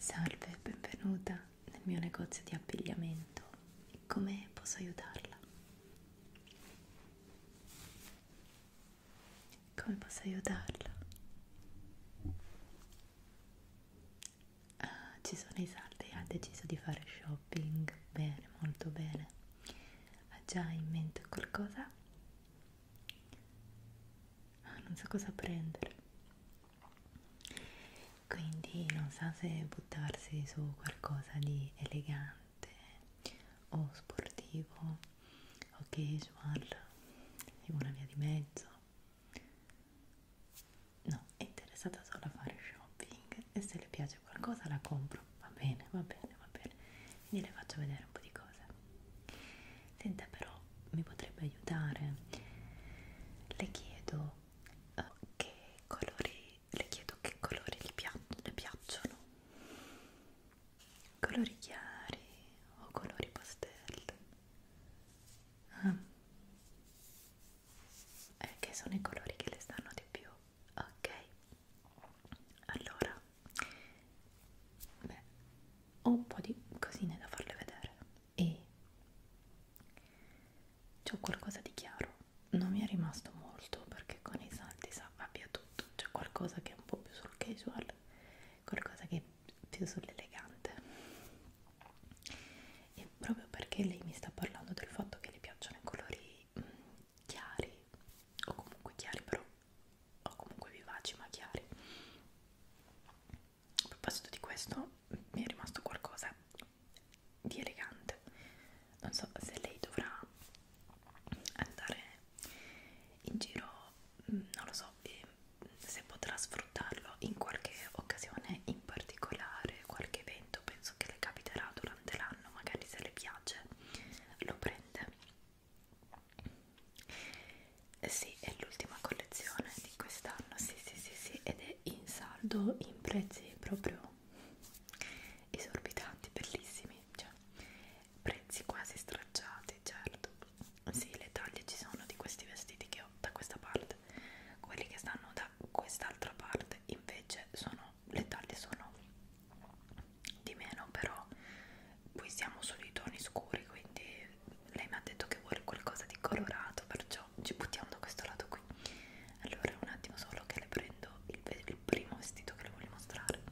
Salve, benvenuta nel mio negozio di abbigliamento. Come posso aiutarla? Come posso aiutarla? ah, ci sono i saldi ha deciso di fare shopping bene molto bene ha già in mente qualcosa ah, non sa so cosa prendere quindi non sa so se buttarsi su qualcosa di elegante o sportivo o casual una via di mezzo No, è interessata solo a fare shopping e se le piace qualcosa la compro. Va bene, va bene, va bene. Quindi le faccio vedere un po' di cose. Senta però, mi potrebbe aiutare? Le chiedo uh, che colori, le chiedo che colori le, pia le piacciono. Colori chiari o colori pastello? Ah. Eh, che sono i colori che le stanno di più. Ok. Allora. Beh, ho un po' di cosine da farle vedere. E c'è qualcosa di chiaro. Non mi è rimasto molto perché con i salti sa abbia tutto. C'è qualcosa che è un po' più sul casual, qualcosa che è più sull'elegante e proprio perché lei mi sta parlando del fatto che le piacciono i colori mh, mm, chiari o comunque chiari però o comunque vivaci ma chiari a proposito di questo mi è rimasto qualcosa di elegante non so se lei dovrà andare in giro mm, non lo so e se potrà sfruttarlo in qualche occasione in particolare, qualche evento penso che le capiterà durante l'anno, magari se le piace lo prende. Eh sì, è l'ultima collezione di quest'anno, sì, sì, sì, sì, ed è in saldo in prezzi proprio esorbitanti, bellissimi, cioè prezzi quasi stracciati, certo. Sì, le taglie ci sono di questi vestiti che ho da questa parte Wild quelli che stanno da quest'altra parte invece sono le taglie sono di meno però qui siamo sui toni scuri quindi lei mi ha detto che vuole qualcosa di colorato perciò ci buttiamo da questo lato qui allora un attimo solo che le prendo il, il primo vestito che le voglio mostrare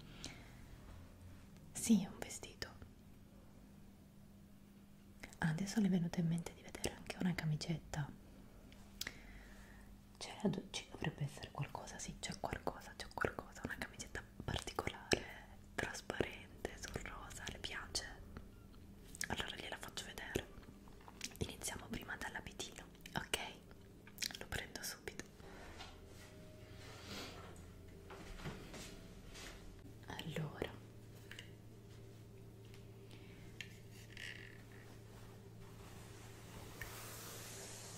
sì è un vestito Ah, adesso mi è venuto in mente di vedere anche una camicetta cioè, ci dovrebbe essere qualcosa sì c'è qualcosa c'è qualcosa una camicetta particolare trasparente sul rosa le piace allora gliela faccio vedere iniziamo prima dall'abitino ok lo prendo subito allora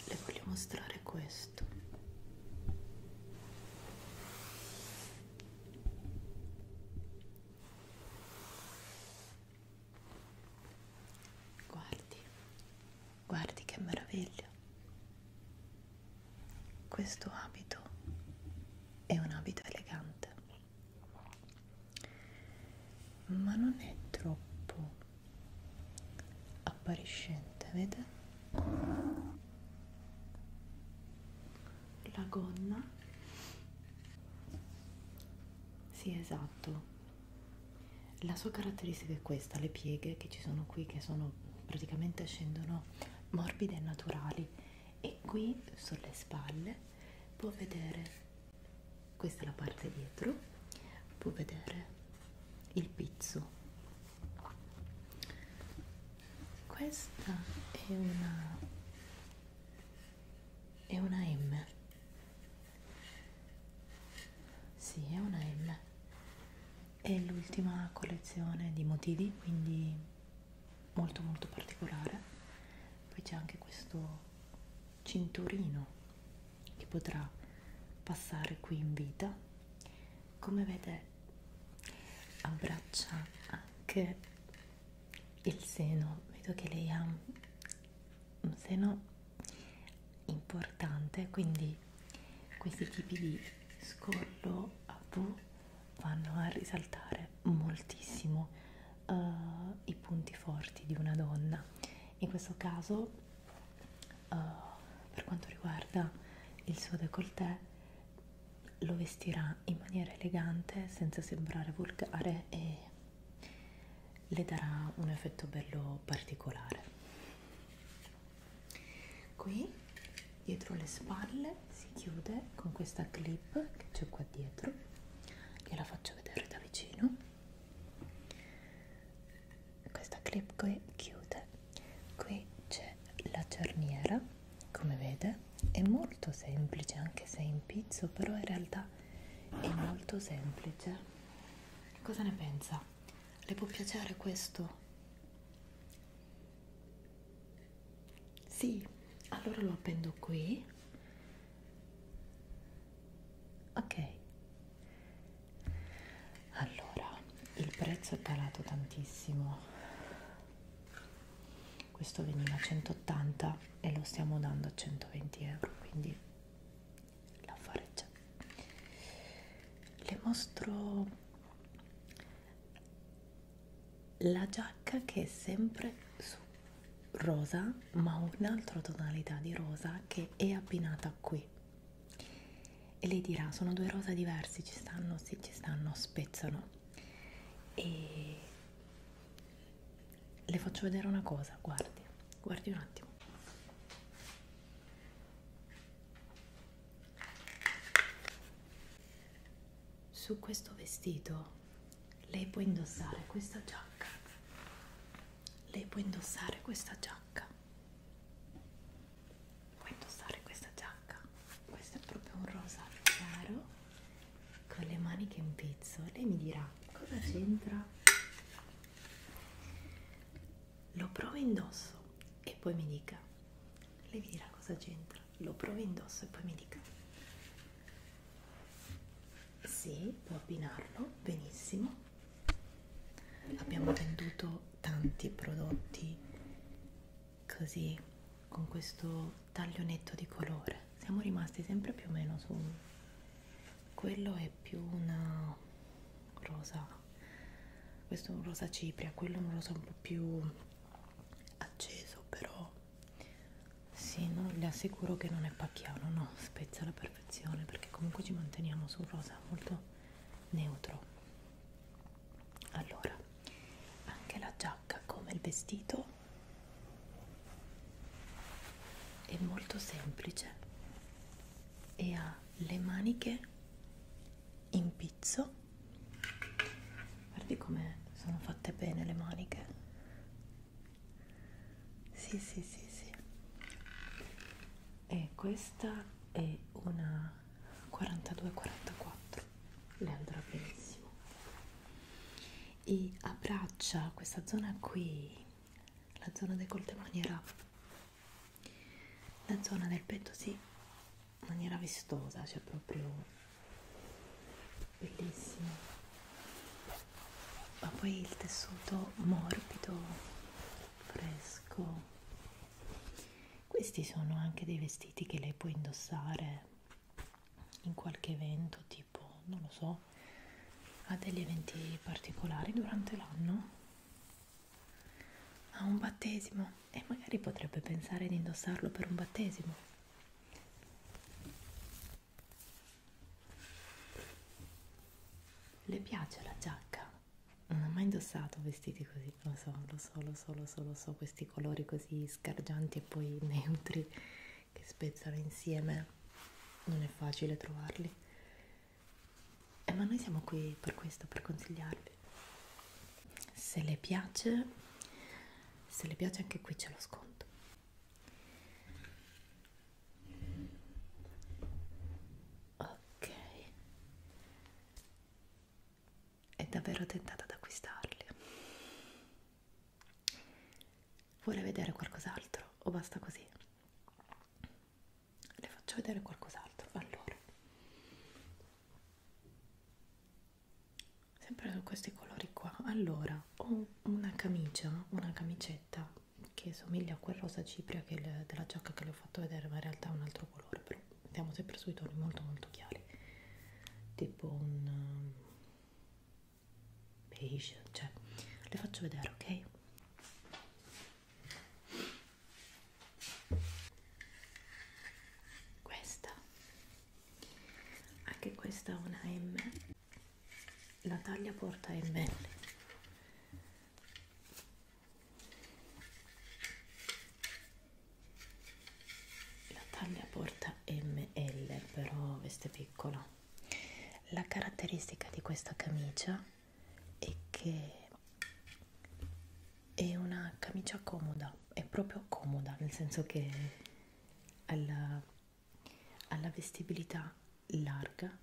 le voglio mostrare questo guardi guardi che meraviglia questo abito è un abito elegante ma non è troppo appariscente vede la gonna sì esatto la sua caratteristica è questa le pieghe che ci sono qui che sono praticamente scendono morbide e naturali e qui sulle spalle può vedere questa è la parte dietro può vedere il pizzo questa è una è una M sì è una M è l'ultima collezione di motivi quindi molto molto particolare poi c'è anche questo cinturino che potrà passare qui in vita come vede abbraccia anche il seno vedo che lei ha un seno importante quindi questi tipi di scollo a V vanno a risaltare moltissimo uh, i punti forti di una donna. In questo caso, uh, per quanto riguarda il suo décolleté, lo vestirà in maniera elegante senza sembrare volgare e le darà un effetto bello particolare. Qui dietro le spalle si chiude con questa clip che c'è qua dietro gliela faccio vedere da vicino questa clip qui chiude qui c'è la cerniera come vede è molto semplice anche se è in pizzo però in realtà è molto semplice cosa ne pensa? le può piacere questo? Sì, allora lo appendo qui. Ok. Allora, il prezzo è calato tantissimo. Questo veniva a 180 e lo stiamo dando a 120 euro, quindi l'affare c'è. Le mostro la giacca che è sempre su rosa ma un'altra tonalità di rosa che è abbinata qui e lei dirà sono due rosa diversi ci stanno sì ci stanno spezzano e le faccio vedere una cosa guardi guardi un attimo su questo vestito lei può indossare questa giacca lei può indossare questa giacca può indossare questa giacca questo è proprio un rosa chiaro con le maniche in pizzo lei mi dirà cosa c'entra lo provo indosso e poi mi dica lei mi dirà cosa c'entra lo provi indosso e poi mi dica sì, può abbinarlo benissimo abbiamo venduto tanti prodotti così con questo taglio netto di colore siamo rimasti sempre più o meno su quello è più una rosa questo è un rosa cipria quello è un rosa un po' più acceso però sì, no, le assicuro che non è pacchiano, no, spezza alla perfezione perché comunque ci manteniamo su un rosa molto neutro. Allora, anche la giacca come il vestito è molto semplice e ha le maniche in pizzo guardi come sono fatte bene le maniche sì sì sì sì e questa è una 4244 le andrà benissimo e abbraccia questa zona qui la zona decolte maniera la zona del petto sì maniera vistosa, cioè proprio bellissimo, ma poi il tessuto morbido, fresco. Questi sono anche dei vestiti che lei può indossare in qualche evento, tipo, non lo so, a degli eventi particolari durante l'anno a un battesimo e magari potrebbe pensare di indossarlo per un battesimo le piace la giacca? Non ho mai indossato vestiti così, lo so, lo so, lo so, lo so, lo so, questi colori così scargianti e poi neutri che spezzano insieme, non è facile trovarli. Eh, ma noi siamo qui per questo, per consigliarvi se le piace se le piace anche qui c'è lo sconto ok è davvero tentata ad acquistarli vuole vedere qualcos'altro o basta così le faccio vedere qualcos'altro allora sempre su questi colori qua allora ho una camicia una camicetta che somiglia a quel rosa cipria che le, della giacca che le ho fatto vedere ma in realtà è un altro colore però andiamo sempre sui toni molto molto chiari tipo un um, beige cioè le faccio vedere ok questa anche questa è una M la taglia porta ML la taglia porta ML però veste piccola la caratteristica di questa camicia è che è una camicia comoda è proprio comoda nel senso che alla, alla vestibilità larga,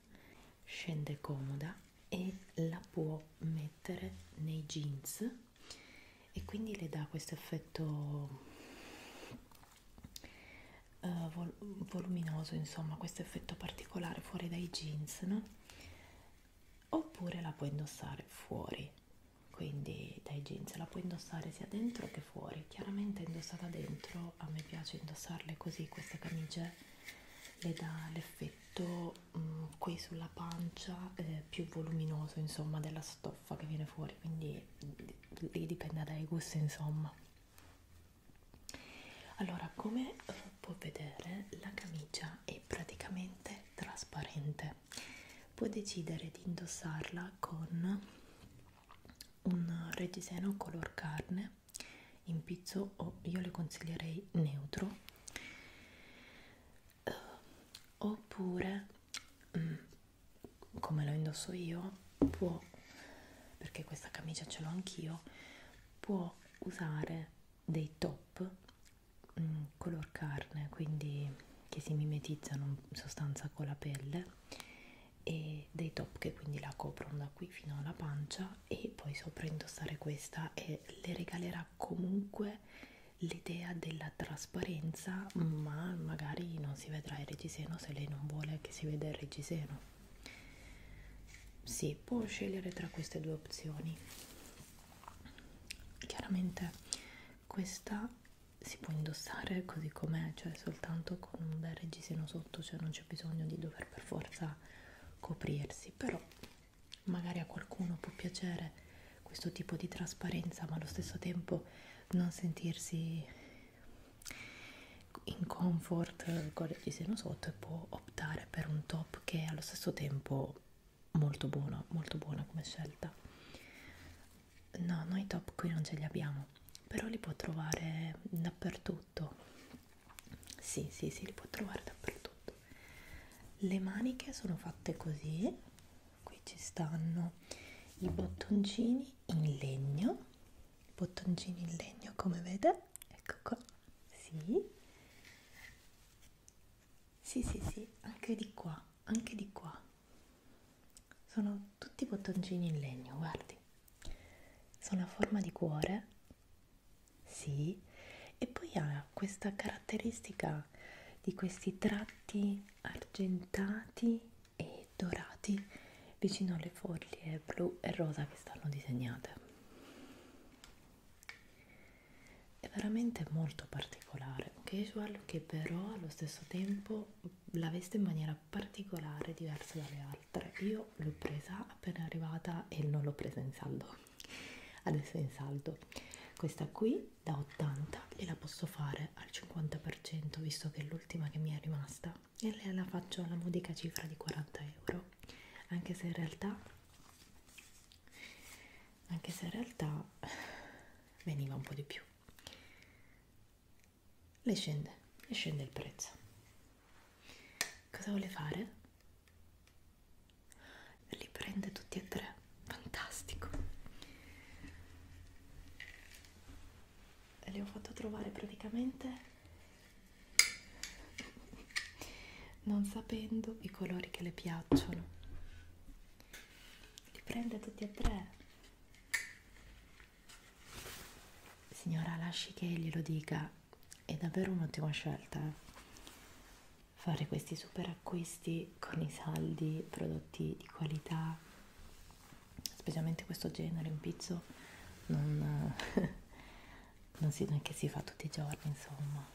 scende comoda e la può mettere nei jeans e quindi le dà questo effetto uh, vol voluminoso, insomma, questo effetto particolare fuori dai jeans, no? Oppure la può indossare fuori quindi dai jeans la puoi indossare sia dentro che fuori chiaramente indossata dentro a me piace indossarle così queste camicie le dà l'effetto mh, mm, qui sulla pancia eh, più voluminoso insomma della stoffa che viene fuori quindi mm, lì dipende dai gusti insomma allora come eh, puoi vedere la camicia è praticamente trasparente può decidere di indossarla con un reggiseno color carne in pizzo o io le consiglierei neutro eh, oppure mm, come lo indosso io può perché questa camicia ce l'ho anch'io può usare dei top mm, color carne quindi che si mimetizzano in sostanza con la pelle e dei top che quindi la coprono da qui fino alla pancia e poi sopra indossare questa e le regalerà comunque l'idea della trasparenza ma magari non si vedrà il reggiseno se lei non vuole che si veda il reggiseno si può scegliere tra queste due opzioni chiaramente questa si può indossare così com'è, cioè soltanto con un bel reggiseno sotto, cioè non c'è bisogno di dover per forza coprirsi, però magari a qualcuno può piacere questo tipo di trasparenza, ma allo stesso tempo non sentirsi in comfort con il reggiseno sotto e può optare per un top che è allo stesso tempo molto buono, molto buona come scelta no noi top qui non ce li abbiamo però li può trovare dappertutto sì sì sì li può trovare dappertutto le maniche sono fatte così qui ci stanno i bottoncini in legno bottoncini in legno come vede ecco qua sì sì sì sì anche di qua anche di qua sono tutti bottoncini in legno guardi sono a forma di cuore sì e poi ha questa caratteristica di questi tratti argentati e dorati vicino alle foglie blu e rosa che stanno disegnate è veramente molto particolare particolare, casual che però allo stesso tempo la veste in maniera particolare, diversa dalle altre. Io l'ho presa appena arrivata e non l'ho presa in saldo. Adesso è in saldo. Questa qui da 80 gliela posso fare al 50% visto che è l'ultima che mi è rimasta e la faccio alla modica cifra di 40 euro. Anche se in realtà, anche se in realtà veniva un po' di più le scende, le scende il prezzo. Cosa vuole fare? Li prende tutti e tre, fantastico. Le ho fatto trovare praticamente non sapendo i colori che le piacciono li prende tutti e tre. Signora, lasci che glielo dica, è davvero un'ottima scelta eh. fare questi super acquisti con i saldi, prodotti di qualità, specialmente questo genere, un pizzo non, non si, non che si fa tutti i giorni, insomma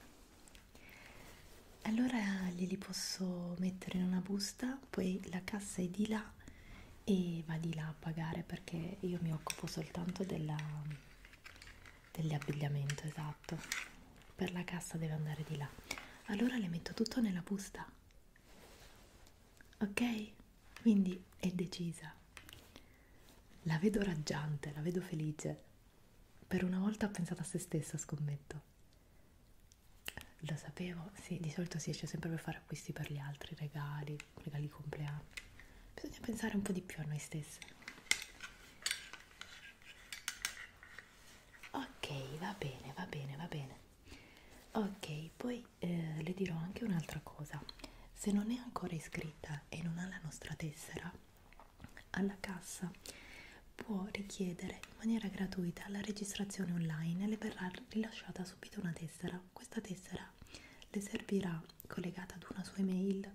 allora glieli posso mettere in una busta, poi la cassa è di là e va di là a pagare perché io mi occupo soltanto dell'abbigliamento, dell esatto, per la cassa deve andare di là. Allora le metto tutto nella busta, ok? Quindi è decisa. La vedo raggiante, la vedo felice. Per una volta ha pensato a se stessa, scommetto. Lo sapevo, sì, di solito si esce sempre per fare acquisti per gli altri, regali, regali di compleanno. Bisogna pensare un po' di più a noi stessi. Ok, va bene, va bene, va bene. Ok, poi eh, le dirò anche un'altra cosa. Se non è ancora iscritta e non ha la nostra tessera, alla cassa può richiedere in maniera gratuita la registrazione online e le verrà rilasciata subito una tessera. Questa tessera le servirà collegata ad una sua email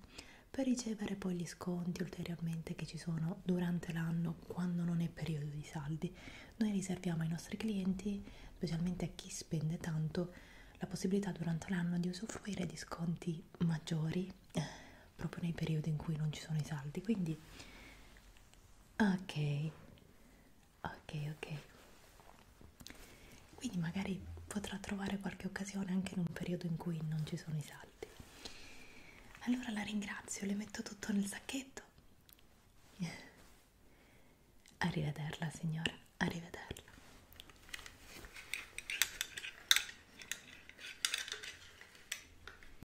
per ricevere poi gli sconti ulteriormente che ci sono durante l'anno quando non è periodo di saldi. Noi riserviamo ai nostri clienti, specialmente a chi spende tanto, la possibilità durante l'anno di usufruire di sconti maggiori eh, proprio nei periodi in cui non ci sono i saldi. Quindi ok ok ok quindi magari potrà trovare qualche occasione anche in un periodo in cui non ci sono i saldi allora la ringrazio le metto tutto nel sacchetto arrivederla signora arrivederla